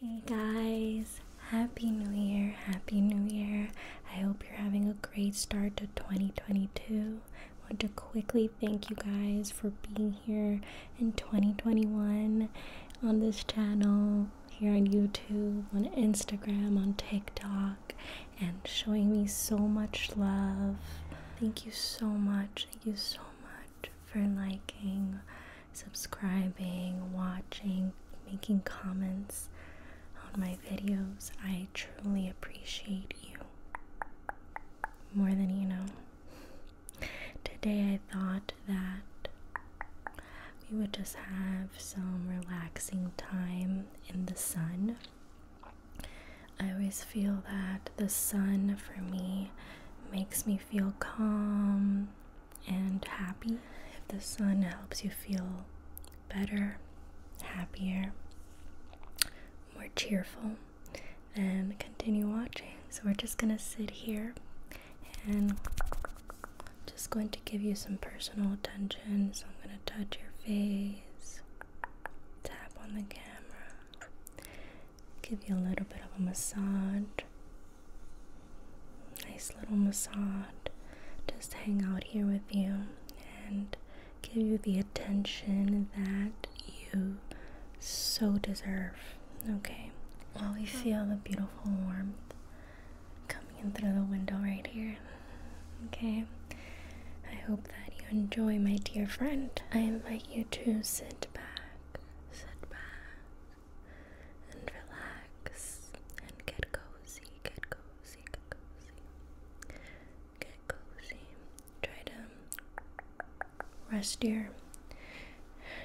Hey guys, Happy New Year! Happy New Year! I hope you're having a great start to 2022. I want to quickly thank you guys for being here in 2021 on this channel, here on YouTube, on Instagram, on TikTok, and showing me so much love. Thank you so much. Thank you so much for liking subscribing, watching, making comments on my videos. I truly appreciate you more than you know. Today I thought that we would just have some relaxing time in the sun. I always feel that the sun for me makes me feel calm, and happy. If the sun helps you feel better, happier, more cheerful, then continue watching. So we're just going to sit here and just going to give you some personal attention. So I'm going to touch your face, tap on the camera, give you a little bit of a massage nice little massage. Just hang out here with you and give you the attention that you so deserve. Okay, while well, we feel the beautiful warmth coming in through the window right here. Okay, I hope that you enjoy, my dear friend. I invite you to sit back, sit back, and relax and get cozy, get cozy, get cozy. Get cozy. Try to rest your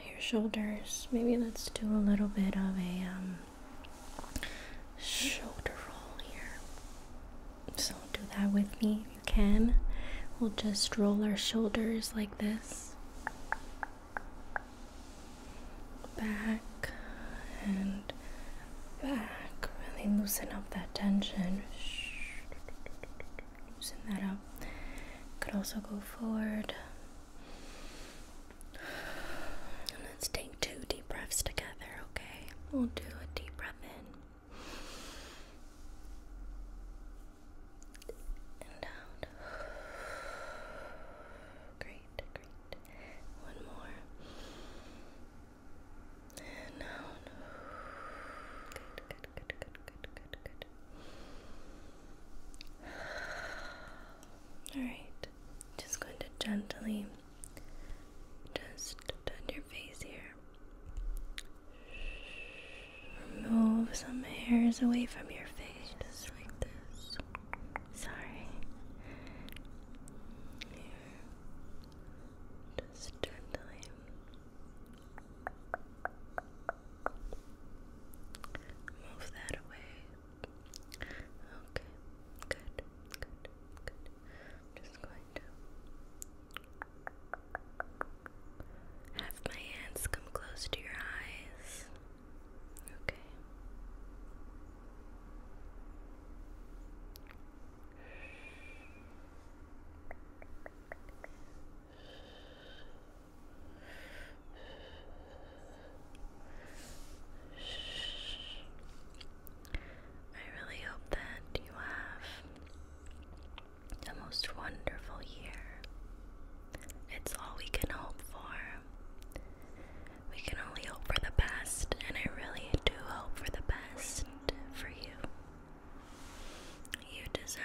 your shoulders. Maybe let's do a little bit of a um, shoulder roll here. So do that with me if you can. We'll just roll our shoulders like this back and back. Really loosen up that tension. Loosen that up. Could also go forward. let's take two deep breaths together, okay? We'll do a deep breath in and out. Great, great. One more. And out. Good, good, good, good, good, good, good. Alright, just going to gently just touch your face here. Remove some hairs away from your face, like this. Sorry. Just gently. Move that away. Okay. Good. Good. Good. just going to have my hands come close to your eyes. Okay. I really hope that you have the most wonderful year. It's all we can hope for. We can only hope for the best, and I really do hope for the best for you. You deserve,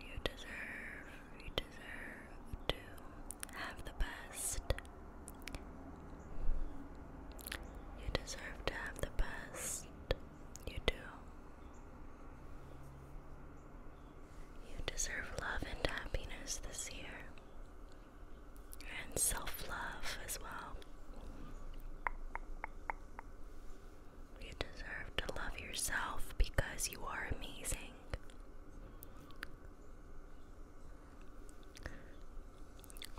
you deserve, you deserve to have the best. You deserve to have the best. You do. You deserve love and happiness this year, and self love as well. You deserve to love yourself because you are amazing.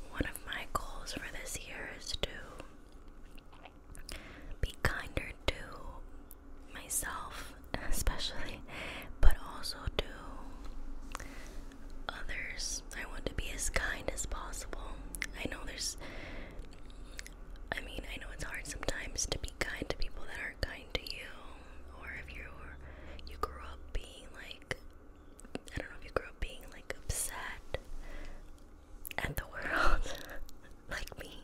One of my goals for this year is to be kinder to myself, especially, but also to others. I want to be as kind as possible. I know there's, I mean, I know it's hard sometimes to be kind to people that aren't kind to you, or if you are you grew up being like, I don't know if you grew up being like upset at the world, like me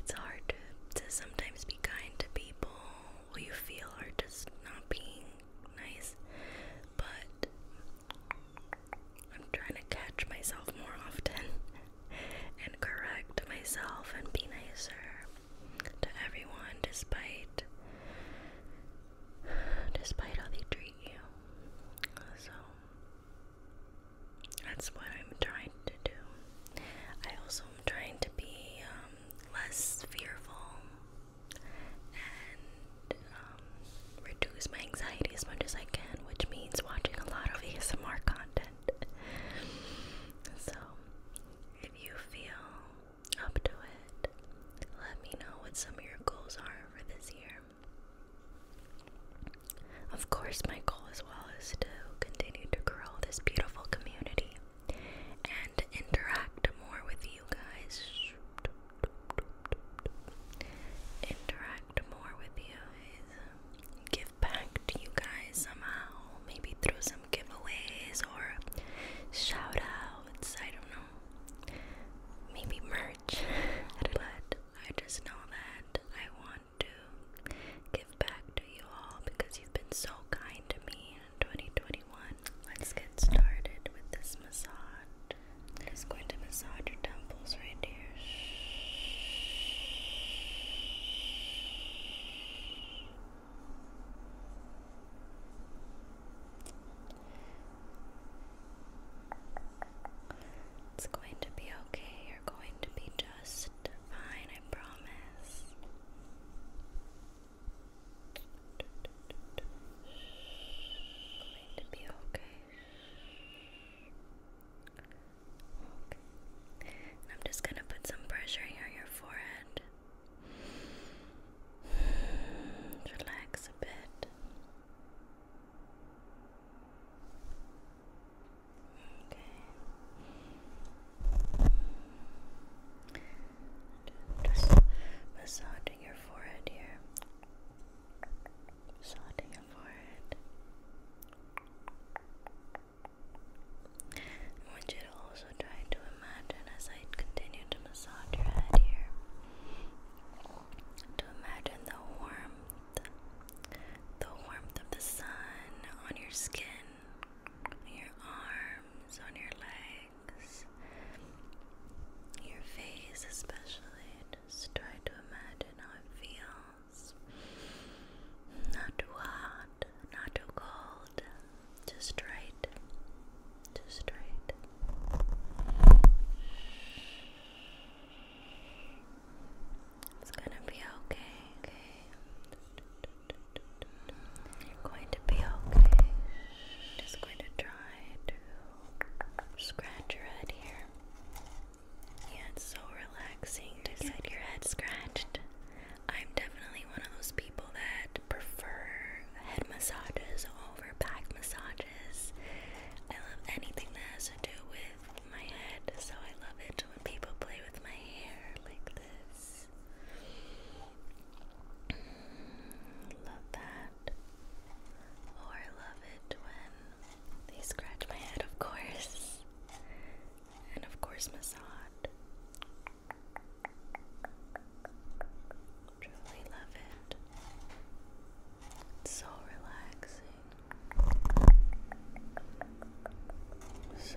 it's hard to, sometimes be kind to people who you feel are just not being nice, but I'm trying to catch myself more often and correct myself and be nicer to everyone despite despite how they treat you. So that's what I'm trying to do. I also trying to be um, less fearful and um, reduce my anxiety as much as I can, which means watching a lot of ASMR content. So, if you feel up to it, let me know what some of your goals are for this year. Of course, my goal is as to continue to grow this beautiful community and interact more with you guys. Interact more with you guys. Give back to you guys somehow. Maybe through some giveaways or shout outs. I don't know. Maybe merch. I don't I just know that I want want to give back to you all because you've been so kind to me in 2021. Let's get started with this massage. I'm just going to massage your temples right here. It's going to be okay. You're going to be just just fine, I promise. Going to be okay. I'm just gonna put some pressure here on your forehead. Relax a bit. Okay. just massaging your forehead here. Massaging your forehead. I want you to also try to imagine as I continue to massage your head here. To imagine the warmth, the warmth of the sun on your skin your arms, on your legs, your face, especially. Just try to imagine how it feels. Not too hot, not too cold, just right, just right. It's gonna be okay? You're going to be okay. Just going to try to scratch your head here. Yeah, it's so relaxing to get your head scratched. I'm definitely one of those people that prefer head massages over back massages. I love anything that has to do with my head, so I love it when people play with my hair like this. Mm, love that. Or love it when they scratch my head, of course. And of course, massage. Truly love it. so relaxing. So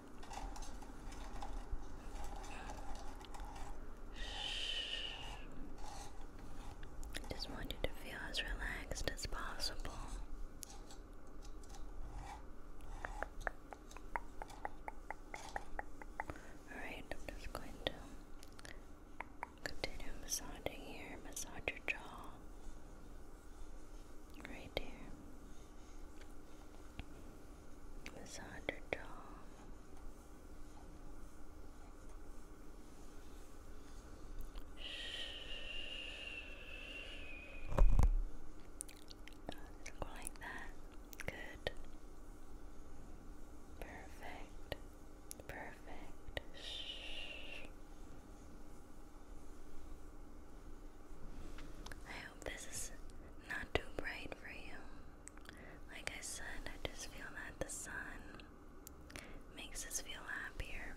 I just want you to feel as relaxed as possible. Alright, I'm just going to continue massaging here, massage your jaw right here massage her jaw. let like that. Good. Perfect. Perfect. Shh this is not too bright for you. Like I said, I just feel that the sun makes us feel happier.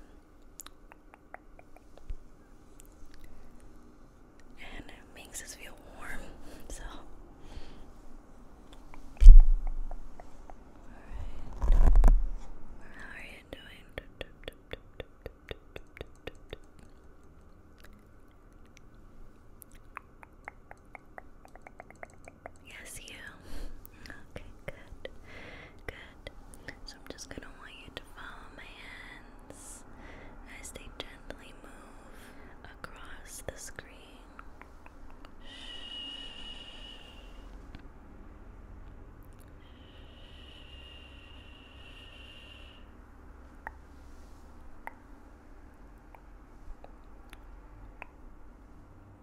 And it makes us feel warm, so. How are you doing? Yes, you. Okay, good. Good. So I'm just going to want you to follow my hands as they gently move across the screen. Shh.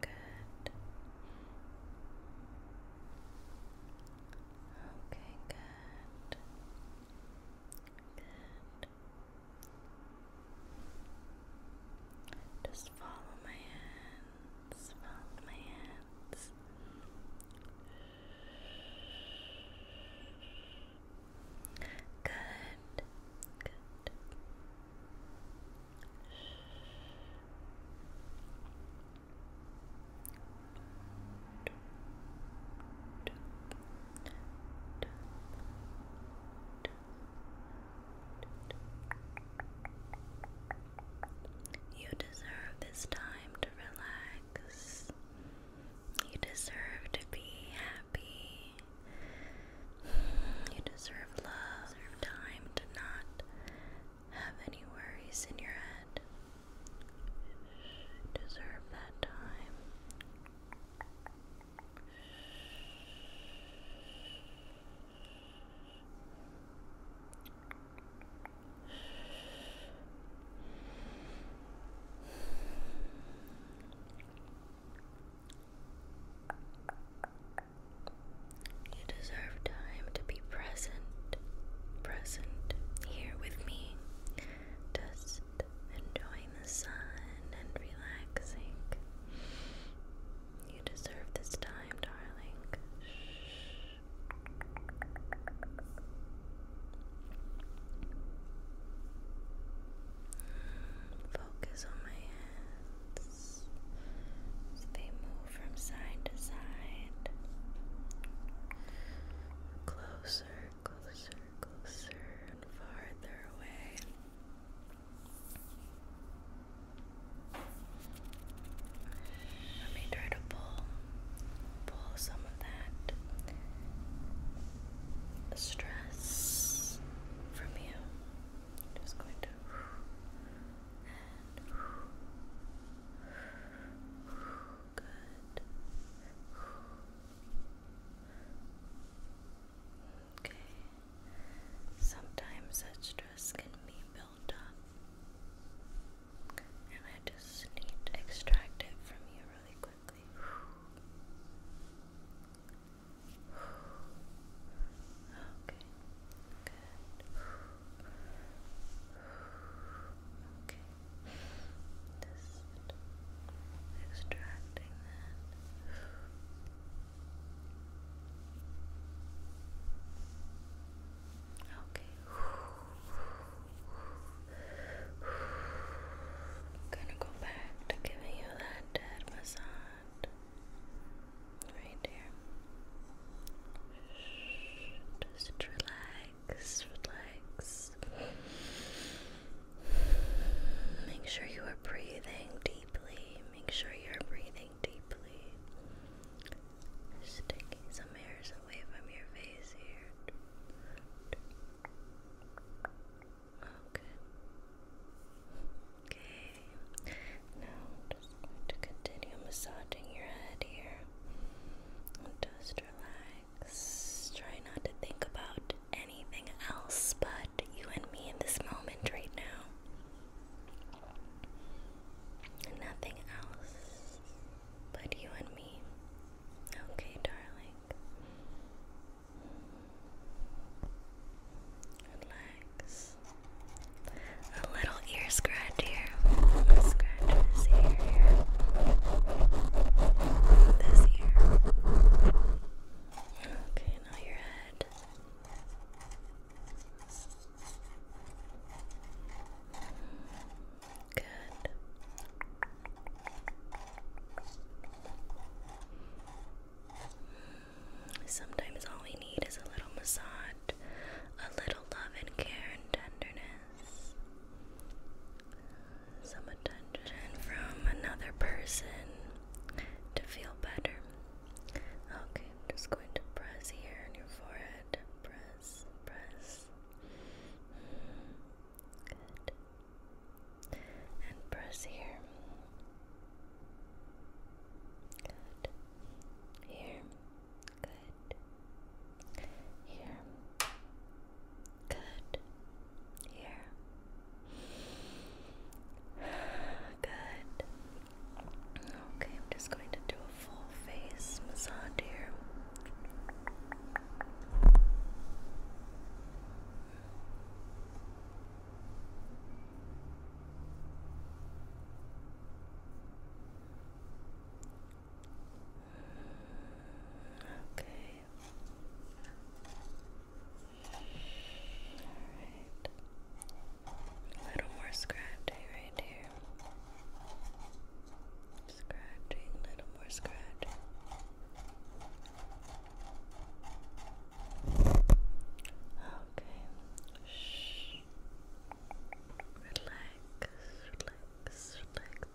Good. Okay, good. Good. Just follow my hands. Follow my hands. Good. Good. You deserve this time to relax. You deserve to be happy. You deserve love. Deserve time to not have any worries in your head. You deserve that time. You deserve time to be present, present here with me, just enjoying the sun and relaxing. You deserve this time, darling. Shh. Focus on my hands as they move from side to side. Closer, closer, closer, and farther away. Let me try to pull pull some of that stress from you. just going to good. Okay. Sometimes that stress can be built up, and I just need to extract it from you really quickly. Okay. Good. Okay. extracting that. Okay gonna go back to giving you that dead massage right there. Just relax, relax. Make sure you are breathing deeply. Make sure you're breathing deeply. taking some hairs away from your face here. Okay. Okay. Now I'm just going to continue massaging your head here. And just relax. Try not to think about anything else but you and me in this moment right now. Nothing else but you and me. Okay, darling. Relax. A little ear scratch here. This ear. Okay, now your head. Sometimes all we need is a little massage, a little love and care and tenderness. Some attention from another person to feel better. Okay, I'm just going to press here on your forehead. Press, press. And press here. Good. Here. Good. Here. Good. Here. Good. Okay, I'm just going to do a full face massage here. Okay. All right. A little more scratchy right here. Scratching, a little more scratch. Okay. Shh. Relax, relax, relax.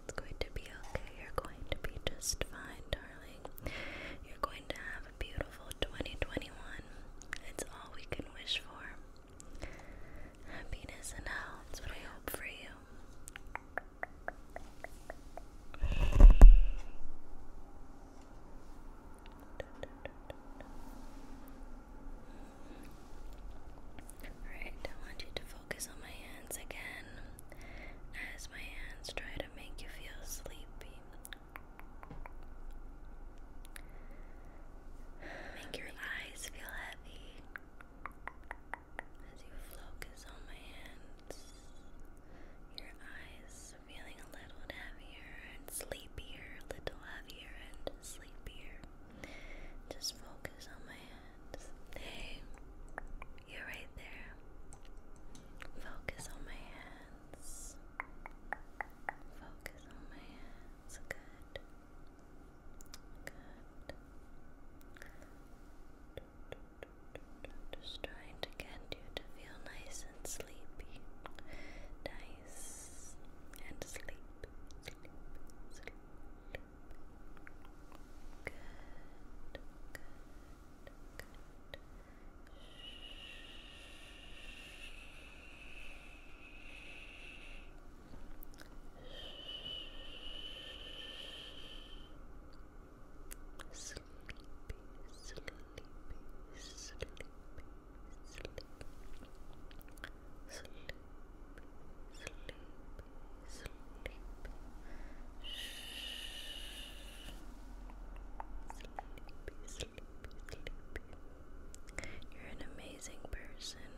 It's going to be okay. You're going to be just fine, darling. You're going to have a beautiful 2021. It's all we can wish for. Happiness and health. That's what I hope for you. Alright, I want you to focus on my hands again as my hands try to make you feel sleepy. Make your eyes feel heavy. As you focus on my hands, your eyes feeling a little heavier and sleepier, a little heavier and sleepier. Just focus on my hands. Hey, you're right there. Focus on my hands. Focus on my hands. Good. Good. Just trying to get you to feel nice and sleepy. Nice and sleep. Sleep. Sleep. Good. Good. Good sleepy, sleepy, sleepy, sleepy, sleepy, sleepy, sleepy. Sleepy, sleepy, sleepy. You're an amazing person.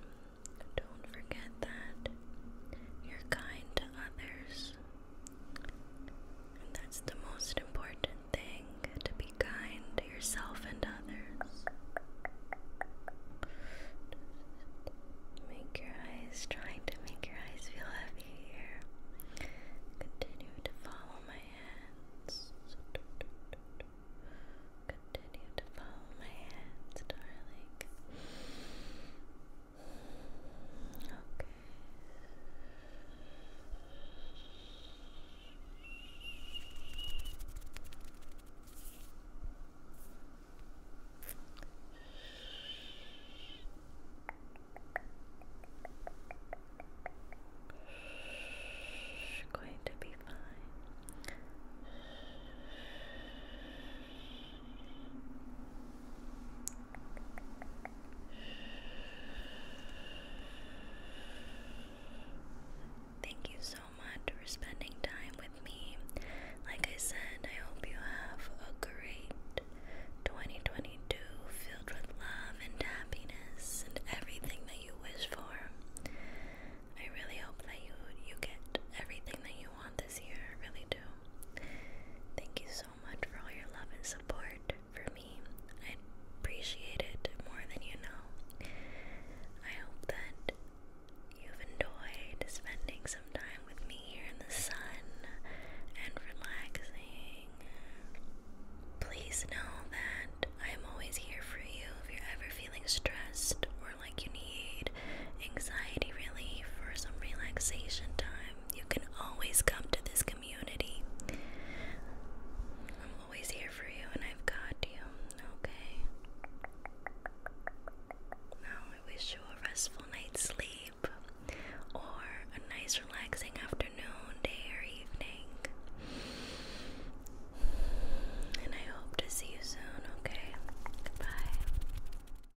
Don't forget that. You're kind to others that's the most important thing to be kind to yourself and others. make your eyes, trying to make your eyes feel heavy here. Continue to follow my hands. Continue to follow my hands, darling. Okay. Going to be fine. Thank you so much for spending time with me. Like I said, I hope you have a great 2022 filled with love and happiness and everything that you wish for. I really hope that you you get everything that you want this year. really do. Thank you so much for all your love and support for me. I appreciate it more than you know. I hope that you've enjoyed spending some time with me here in the sun and relaxing. Please know that I'm always here for you if you're ever feeling stressed or like you need anxiety relief for some relaxation time you can always come to this community. I'm always here for you and I've got you, okay? Now I wish you a restful night's sleep or a nice relaxing afternoon, day or evening. And I hope to see you soon, okay? Goodbye.